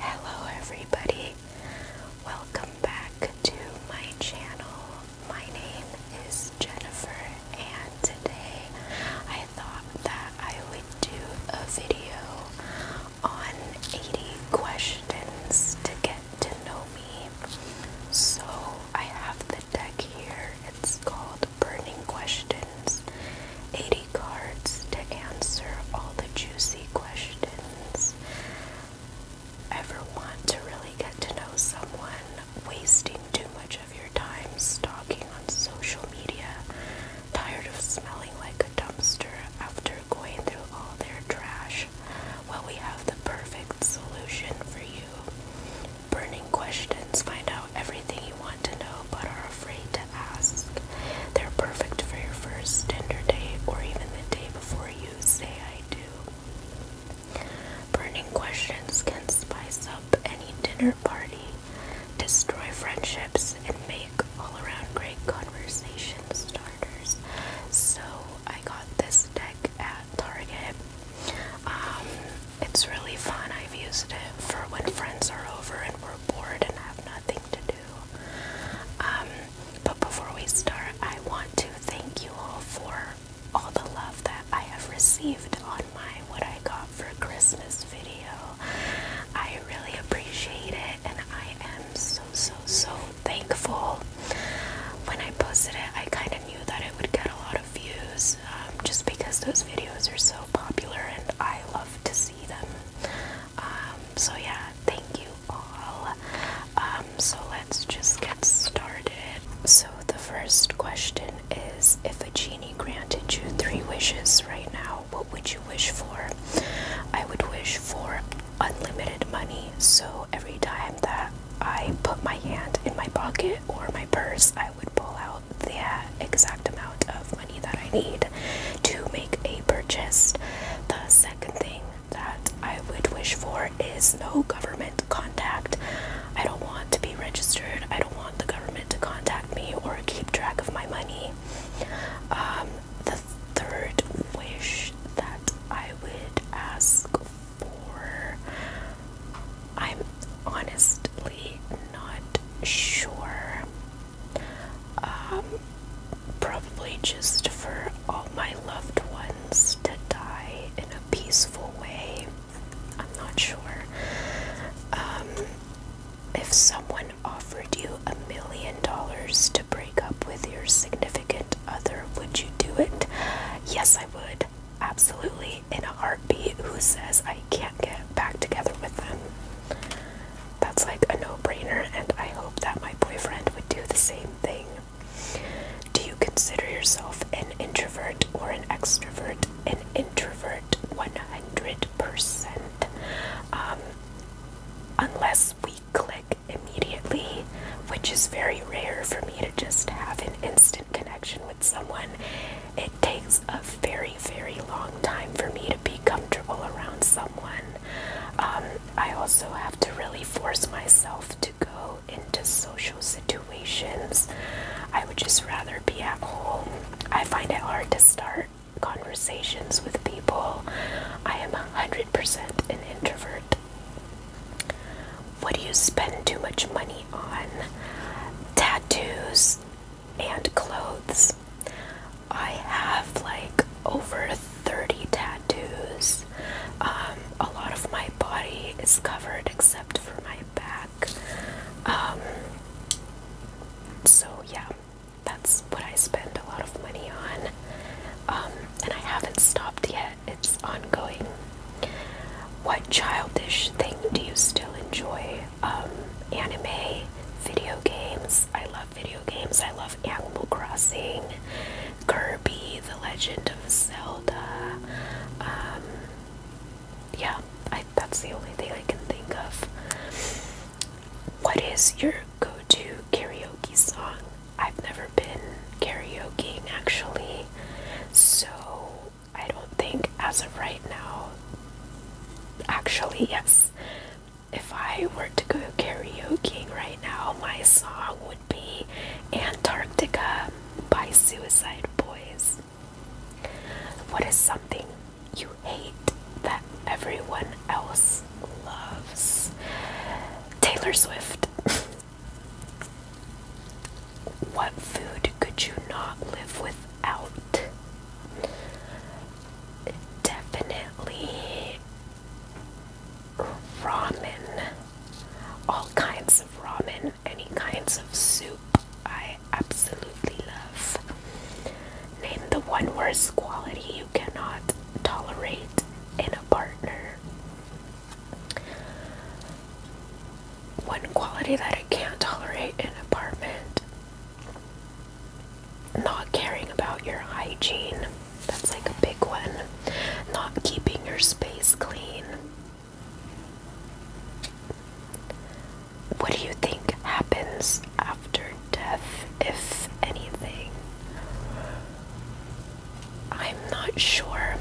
Hello, everybody. Welcome back to my channel. My name is Jennifer, and today I thought that I would do a video on 80 questions to get to know me. So I have the deck here. It's called Burning Questions. 80 cards to answer all the juicy questions. Ever want to really get to know someone? Wasting too much of your time stalking on social media? Tired of smelling like a dumpster after going through all their trash? Well, we have the perfect solution for you. Burning questions find out everything you want to know but are afraid ask. They're perfect for your first Tinder date or even the day before you say I do. Burning questions can spice up any dinner party, destroy friendships, and make all around great conversation starters. So I got this deck at Target. Um, it's really fun. I've used it for when friends are over and we're bored and have nothing to do. Um, but before we start, I want to thank you all for all the love that I have received on my What I Got for Christmas video. I really appreciate it and I am so, so, so thankful. When I posted it, I kind of knew that it would get a lot of views um, just because those videos are so popular and I love to see them. Um, so yeah, thank you all. Um, so let's just get started. So the first question is if a genie granted you three wishes right now, what would you wish for? I would wish for unlimited money. So every time that I put my hand in my pocket or my purse, I would pull out that exact amount of money that I need to make a purchase. The second thing that I would wish for is no government contact. I don't want to be registered. I don't want the government to contact me or keep track of my money. Um, the third wish that I would ask for, I'm honestly not sure. Um, probably just for all my loved ones to die in a peaceful way. I'm not sure. Um, if someone offered you a million dollars to break up with your significant other, would you do it? Yes, I would. Absolutely. In a heartbeat, who says I can't get back together with them? That's like a no brainer, and I hope that my boyfriend would do the same thing. Do you consider yourself an introvert or an extrovert? An introvert 100%. Um, unless we click immediately, which is very rare for me to just have an instant connection with someone it takes a very, very long time for me to be comfortable around someone. Um, I also have to really force myself to go into social situations. I would just rather be at home. I find it hard to start conversations with people. I am 100% an introvert. What do you spend too much money on? Tattoos, and clothes. I have like over 30 tattoos. Um, a lot of my body is covered except for my back. Um, so, yeah, that's what I spend a lot of money on. Um, and I haven't stopped yet, it's ongoing. What childish thing do you still enjoy? Um, anime, video games. I love video games. I love Animal Crossing, Kirby, The Legend of Zelda. Um, yeah, that's the only thing I can think of. What is your go to karaoke song? I've never been karaokeing actually, so I don't think as of right now Actually, yes. If I were to go karaoke right now, my song would be Antarctica by Suicide Boys. What is something you hate that everyone else loves? Taylor Swift. what food could you not live without? Definitely ramen. All kinds of ramen, any kinds of soup, I absolutely love. Name the one worst quality you cannot tolerate in a partner. One quality that I can't tolerate in an apartment not caring about your hygiene, that's like a big one. Not keeping your space clean. What do you think happens after death, if anything? I'm not sure.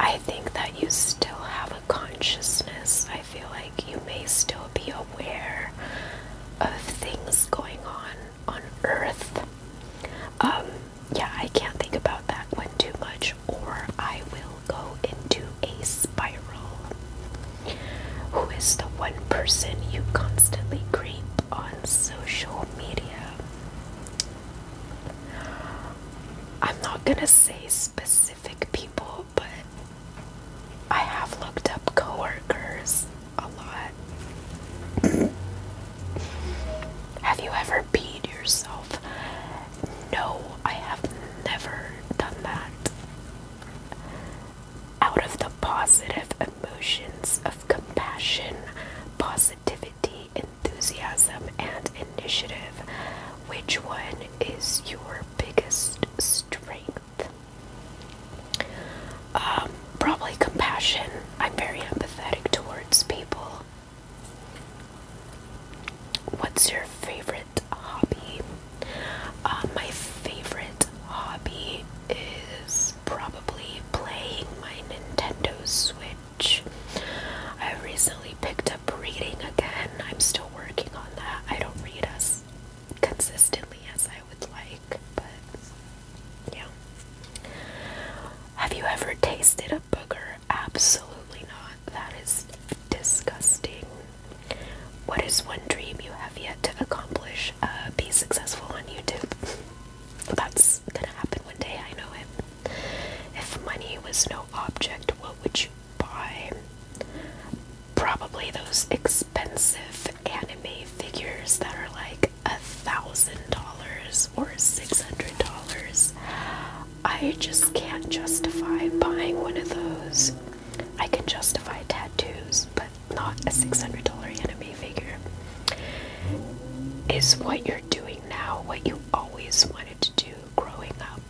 I think that you still have a consciousness. I feel like you may still be aware of things going on on Earth. Um, yeah, I can't think about that one too much, or I will go into a spiral. Who is the one person you constantly creep on social media? I'm not gonna say specific people, but I have looked up coworkers a lot. have you ever peed yourself? No, I have never done that. Out of the positive emotions of compassion, positivity, enthusiasm, and initiative, which one is your biggest strength? Um, probably compassion. I'm very empathetic towards people. What's your favorite hobby? Uh, my favorite hobby is probably playing my Nintendo Switch. I recently picked up reading again. I'm still working on that. I don't read as consistently as I would like, but yeah. Have you ever tasted a booger? Absolutely not. That is disgusting. What is one dream you have yet to accomplish? Uh, be successful on YouTube. That's gonna happen one day, I know it. If money was no object, what would you buy probably those expensive anime figures that are like a thousand dollars or six hundred dollars. I just can't justify buying one of those. I can justify tattoos, but not a six hundred dollar anime figure. Is what you're doing now what you always wanted to do growing up?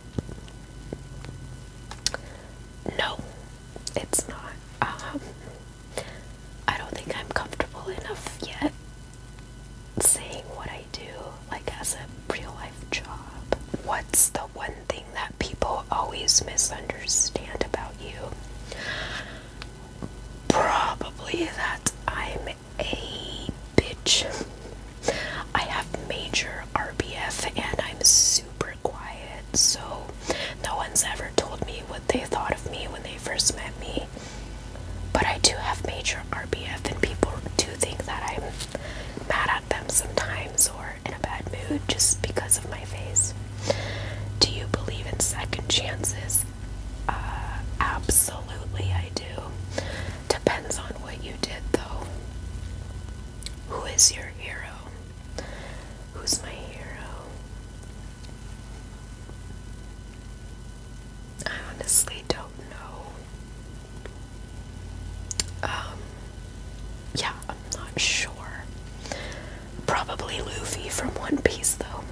No, it's not. Um, I don't think I'm comfortable enough yet saying what I do, like as a real life job. What's the one thing that people always misunderstand about you? Probably that I'm a bitch. I have major RBF and I'm super quiet, so no one's ever told me what they thought of me when they first met me. But I do have major RBF, and people do think that I'm mad at them sometimes or in a bad mood just because of my face. Do you believe in second chances? Uh, absolutely, I do. Depends on what you did, though. Who is your hero? Who's my hero? I honestly don't know. Um, yeah, I'm not sure. Probably Luffy from One Piece, though.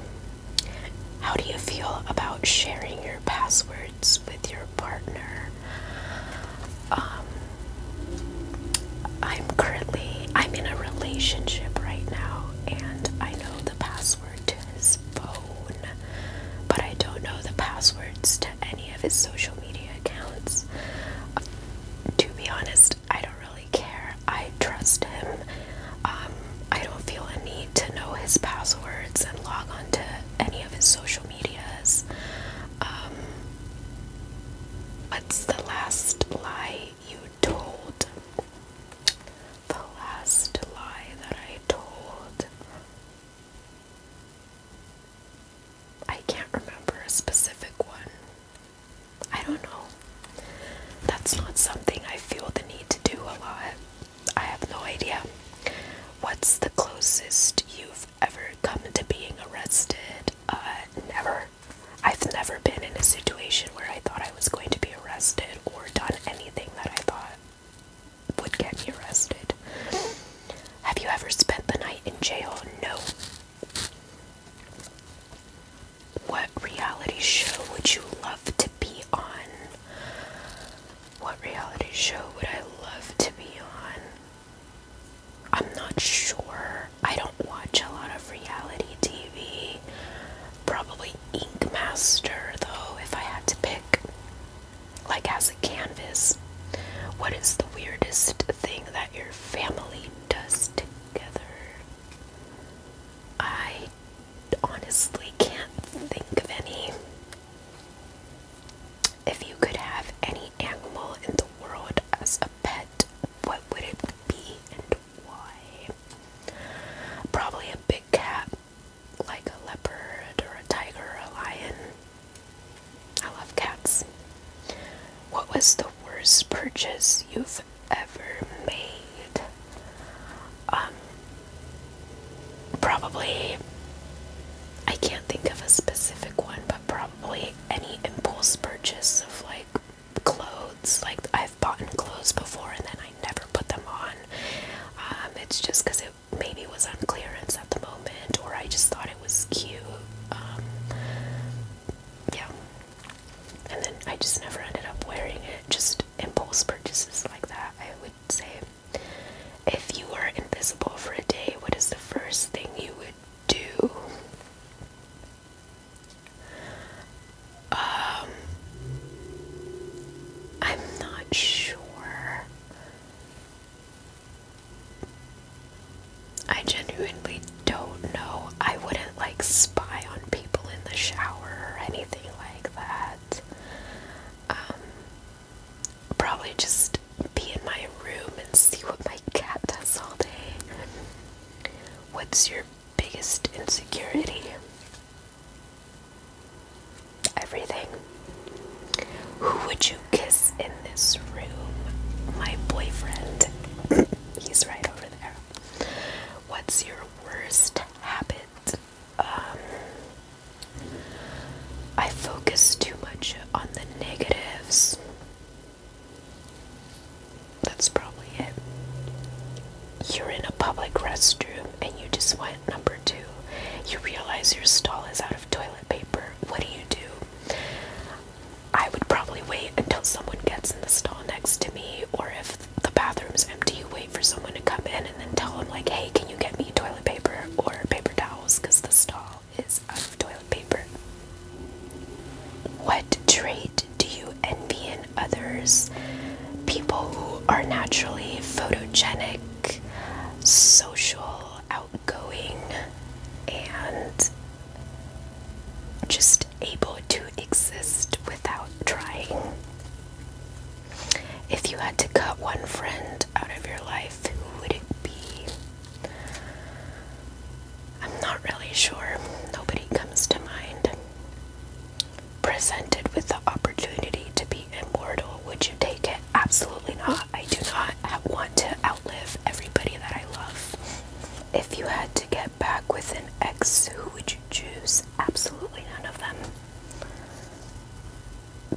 How do you feel about sharing your password with your partner. Um, I'm currently I'm in a relationship right now, and I know the password to his phone, but I don't know the passwords to any of his social media accounts. to be honest, I don't really care. I trust him. Um, I don't feel a need to know his passwords and log on to any of his social um, what's the last lie you told? The last lie that I told. I can't remember a specific one. I don't know. That's not something I feel the need to do a lot. I have no idea. What's the closest you've ever come to being arrested? Uh, never. I've never been in a situation where I thought I was going to be arrested or done anything that I thought would get me arrested. Have you ever spent the night in jail? No. What reality show would you love to be on? What reality show would I love to be on? I'm not sure. I don't watch a lot of reality TV. Probably Ink Master, though, if I had to pick. Like as a canvas. What is the weirdest thing that your family does together? I honestly can't think of any. If you could have any animal in the world as a pet, what would it be and why? Probably a big cat, like a leopard or a tiger or a lion. I love cats. What was the worst purchase you've ever made? Um, probably I can't think of a specific one, but probably any impulse purchase of like clothes. Like I've bought clothes before and then I never put them on. Um, it's just because it maybe was on clearance at the moment, or I just thought it was cute. Um, yeah, and then I just never ended up wearing it. Just impulse purchases like that, I would say. If you were invisible for a day, what is the first thing you would do? Um, I'm not sure. I genuinely don't know. I wouldn't like spy on people in the shower or anything like that. Um, probably just be in my room and see what my cat does all day. What's your biggest insecurity? Everything. Who would you kiss in this room? My boyfriend. He's right over there. What's your worst habit? Um, I focus too much on the negatives. That's probably it. You're in a public restroom and you just went number two. You realize your stall is out of toilet paper. What do you do? I would probably wait until someone gets in the stall next to me, or if the bathroom's empty, you wait for someone to come in and then tell them, like, hey, can you get me toilet paper or paper towels? Because the stall is out of toilet paper. What trait do you envy in others? People who are naturally photogenic, social, outgoing, and just able to exist without trying. If you had to cut one friend out of your life, who would it be? I'm not really sure. Nobody comes to mind. Presented with the opportunity to be immortal, would you take it? Absolutely not. I do not want to outlive everybody that I love. If you had to get back with an ex, who would you choose? Absolutely none of them.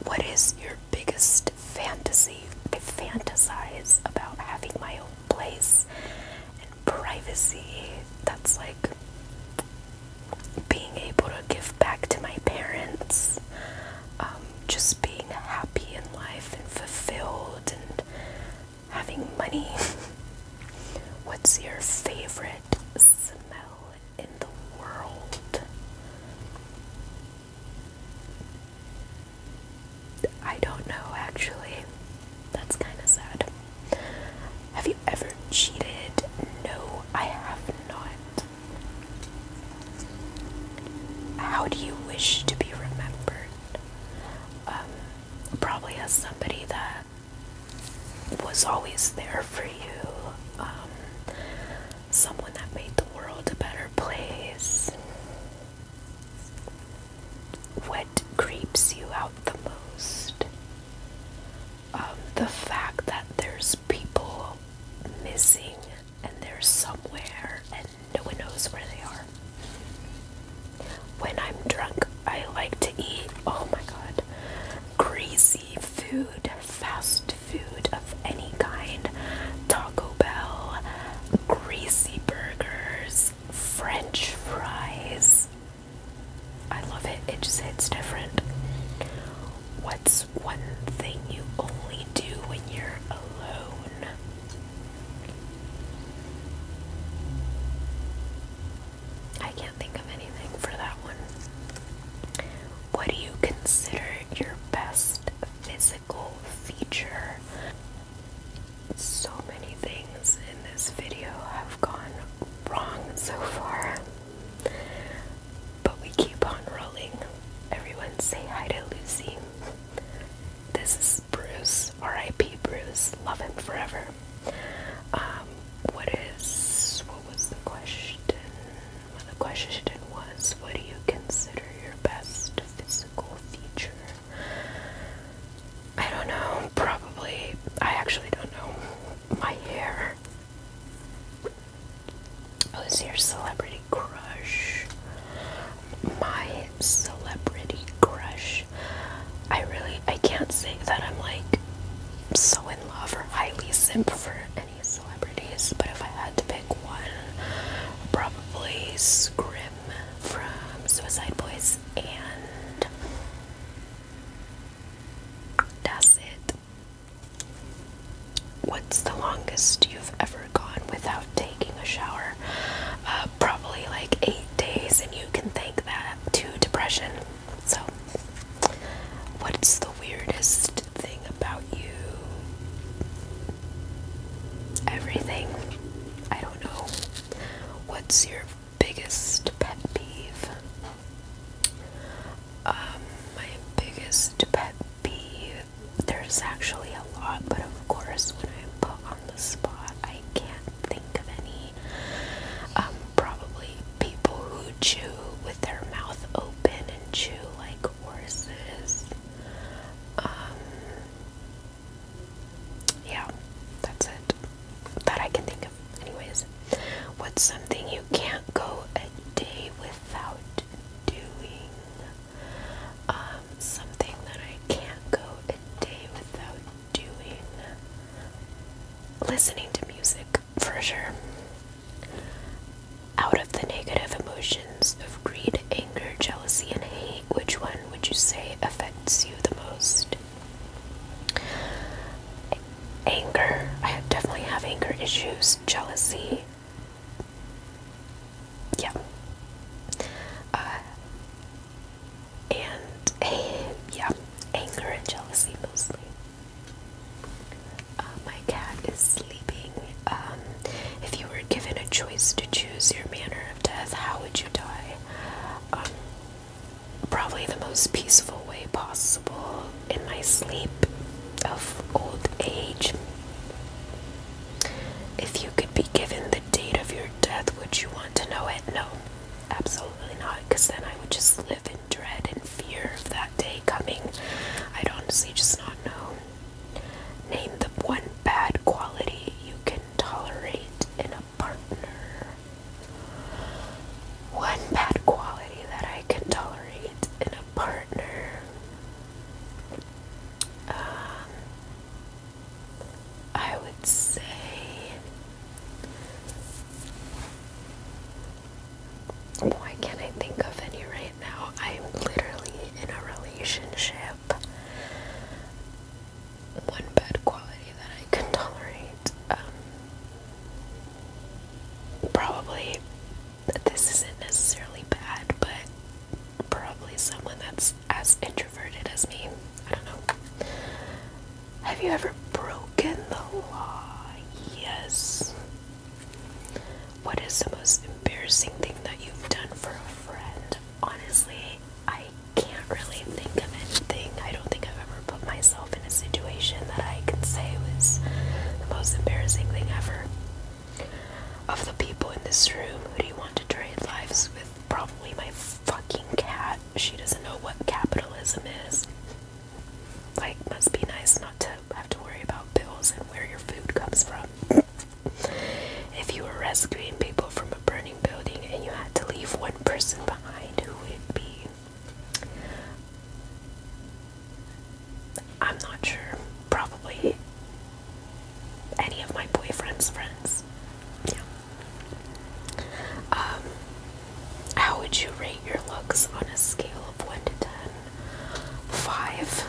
What is your biggest fantasy? I fantasize about having my own place and privacy. That's like being able to give back to my parents, um, just being happy in life and fulfilled and having money. What's your favorite smell in the world. I don't know actually. That's kind of sad. Have you ever cheated? No, I have not. How do you wish to be remembered? Um, probably as somebody that was always there for you, um, someone that made the world a better place. What creeps you out the most? Um, the fact that there's people missing and they're somewhere and no one knows where they are. When I'm drunk, I like to eat. Oh my god greasy food, fast food of any kind Taco Bell, greasy burgers, French fries. I love it, it just hits different. What's one thing you only do when you're alone? I can't think of anything for that one. What do you consider your best physical feature? So many things in this video have gone wrong so far. But we keep on rolling. Everyone say hi to Lucy. This is Bruce, R.I.P. Bruce, love him forever. Um, what is what was the question? Well, the question was, what do you consider your best physical feature? I don't know. Probably, I actually don't know. My hair. Who's oh, your celebrity crush? My celebrity crush I really I can't say that I'm like so in love or highly simp for any celebrities, but if I had to pick one, probably Scrim from Suicide Boys and that's it. What's the longest you've ever gone without taking a shower? Uh, probably like eight days, and you can thank that to depression. So, what's the weirdest thing about you? Everything. I don't know. What's your biggest pet peeve? Um, my biggest pet peeve. There's actually a lot, but of course, when I'm put on the spot, I can't think of any. Um, probably people who chew with their mouth open and chew like horses. Um, yeah, that's it. That I can think of. Anyways, what's something you can't go a day without doing? Um, something that I can't go a day without doing listening to music for sure. Out of the negative emotions of greed, anger, jealousy, and hate, which one would you say affects you the most? Anger. I definitely have anger issues. Jealousy. Yeah. Uh, and yeah, anger and jealousy mostly. Uh, my cat is sleeping. Um, if you were given a choice to choose your manner of death, how would you die? Um, probably the most peaceful way possible in my sleep of old age. If you could be given the date of your death, would you want to know it? No, absolutely Absolutely not, because then I would just live in dread and fear of that day coming. I'd honestly just not know. Name the one bad quality you can tolerate in a partner. One bad quality that I can tolerate in a partner. Um, I would say why can't I think of any right now? I'm literally in a relationship. One bad quality that I can tolerate. Um, probably, this isn't necessarily bad, but probably someone that's as introverted as me. I don't know. Have you ever broken the law? Yes. What is the most embarrassing thing that you've done for a friend? Honestly, I can't really think of anything. I don't think I've ever put myself in a situation that I can say was the most embarrassing thing ever. Of the people in this room, who do you want to trade lives with? Probably my fucking cat she doesn't know what capitalism is. Like, must be nice not to have to worry about bills and where your food comes from. if you were rescuing people from a burning building and you had to leave one person behind, who would it be? I'm not sure. Probably any of my boyfriend's friends. Um, how would you rate your looks on a scale of 1 to 10? 5.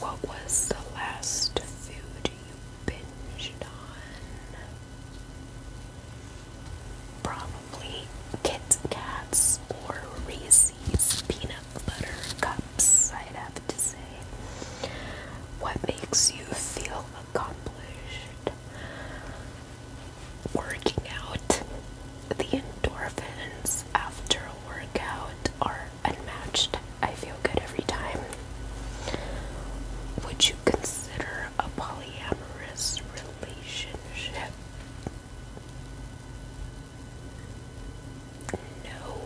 What was the last food you binged on? Probably Kit Kats or Reese's peanut buttercups, I'd have to say. What makes you feel accomplished? Working out. The endorphins after a workout are unmatched. I feel good every time. Would you consider a polyamorous relationship? No.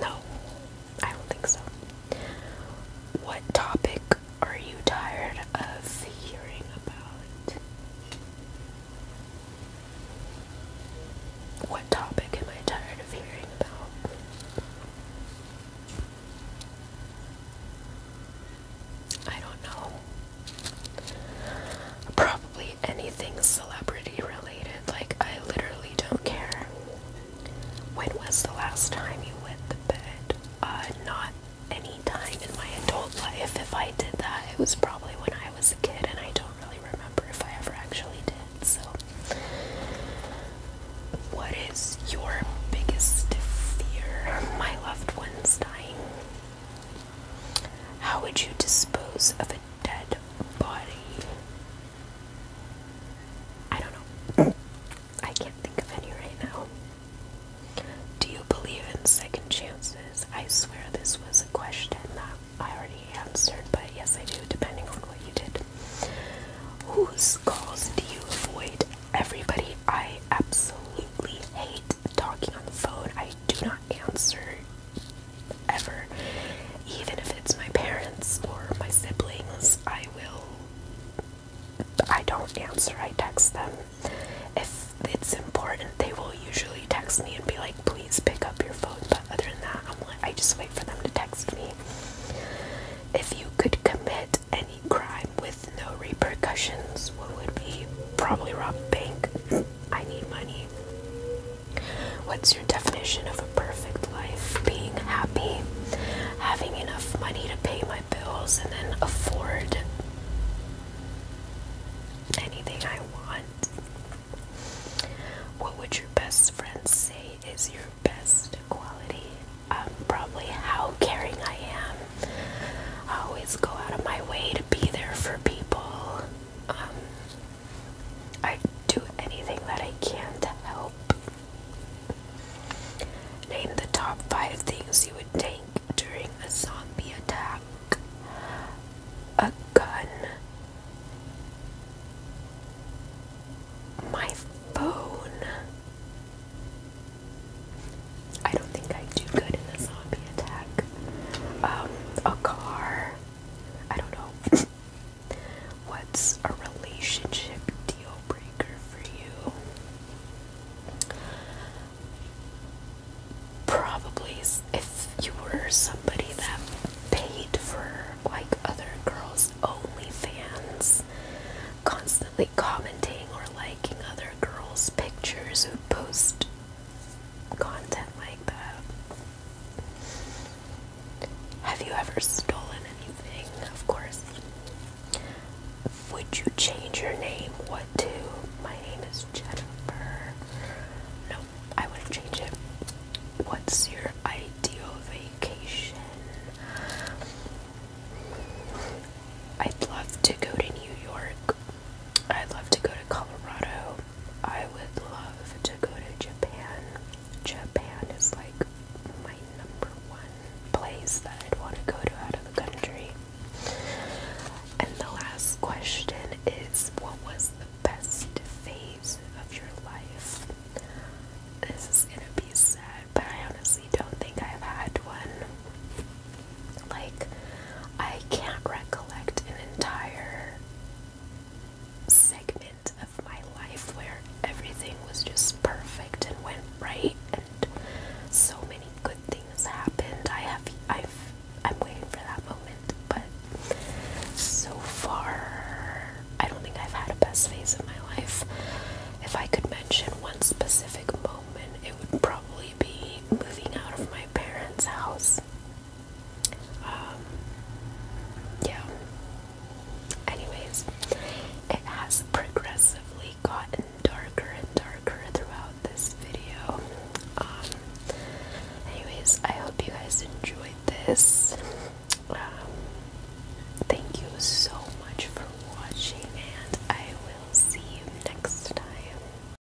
No. I don't think so. What topic are you tired of hearing about? What topic am I tired of hearing about? I don't know. Probably anything celebrity related. Like, I literally don't care. When was the last time you went to bed? Uh, not any time in my adult life. If I did that, it was probably when I was a kid, and I don't really remember if I ever actually did. So, what is your biggest fear? My loved ones dying. How would you dispose of a dead body. I don't know. I can't think of any right now. Do you believe in second chances? I swear this was a question that I already answered, but yes, I do, depending on what you did. Whose calls do you avoid? Everybody, I absolutely hate talking on the phone. I do not answer ever. Even if it's my parents or my siblings, I will. I don't answer, I text them. If it's important, they will usually text me and be like, please pick up your phone. But other than that, i just wait for them to text me. If you could commit any crime with no repercussions, what would be? Probably rob a bank. I need money. What's your definition of a perfect life? Being happy, having enough money to pay my bills, and then afford anything I want. What would your best friend say is your best quality? Um, probably how caring I am. I always go out of my way to be there for people. Um, I do anything that I can to help. Name the top five things you would take during a zombie attack. A gun. My phone. I don't think I do good in a zombie attack. Um, a car. I don't know. What's a relationship deal breaker for you? Probably if you were somebody that paid for like other girls' only fans, constantly commenting or liking other girls' pictures who post content like that. Have you ever stolen anything? Of course. Would you change your name? What to? My name is Jennifer. No, I wouldn't change it. What's your ideal vacation? I'd love to go to New York. I'd love to go to Colorado. I would love to go to Japan. Japan is like my number one place that I'd want to go to out of the country. And the last question is what was the best phase of your life? This is gonna be sad, but I honestly don't think I've had one. Like, I can't recollect an entire segment of my life where everything was just perfect and went right and so many good things happened. I have I've I'm waiting for that moment, but so far I don't think I've had a best phase of my life. If I could mention one specific moment, it would probably be moving out of my parents' house. Um, yeah. Anyways, it has progressively gotten darker and darker throughout this video. Um, anyways, I hope you guys enjoyed this. Um, thank you so much for watching, and I will see you next time.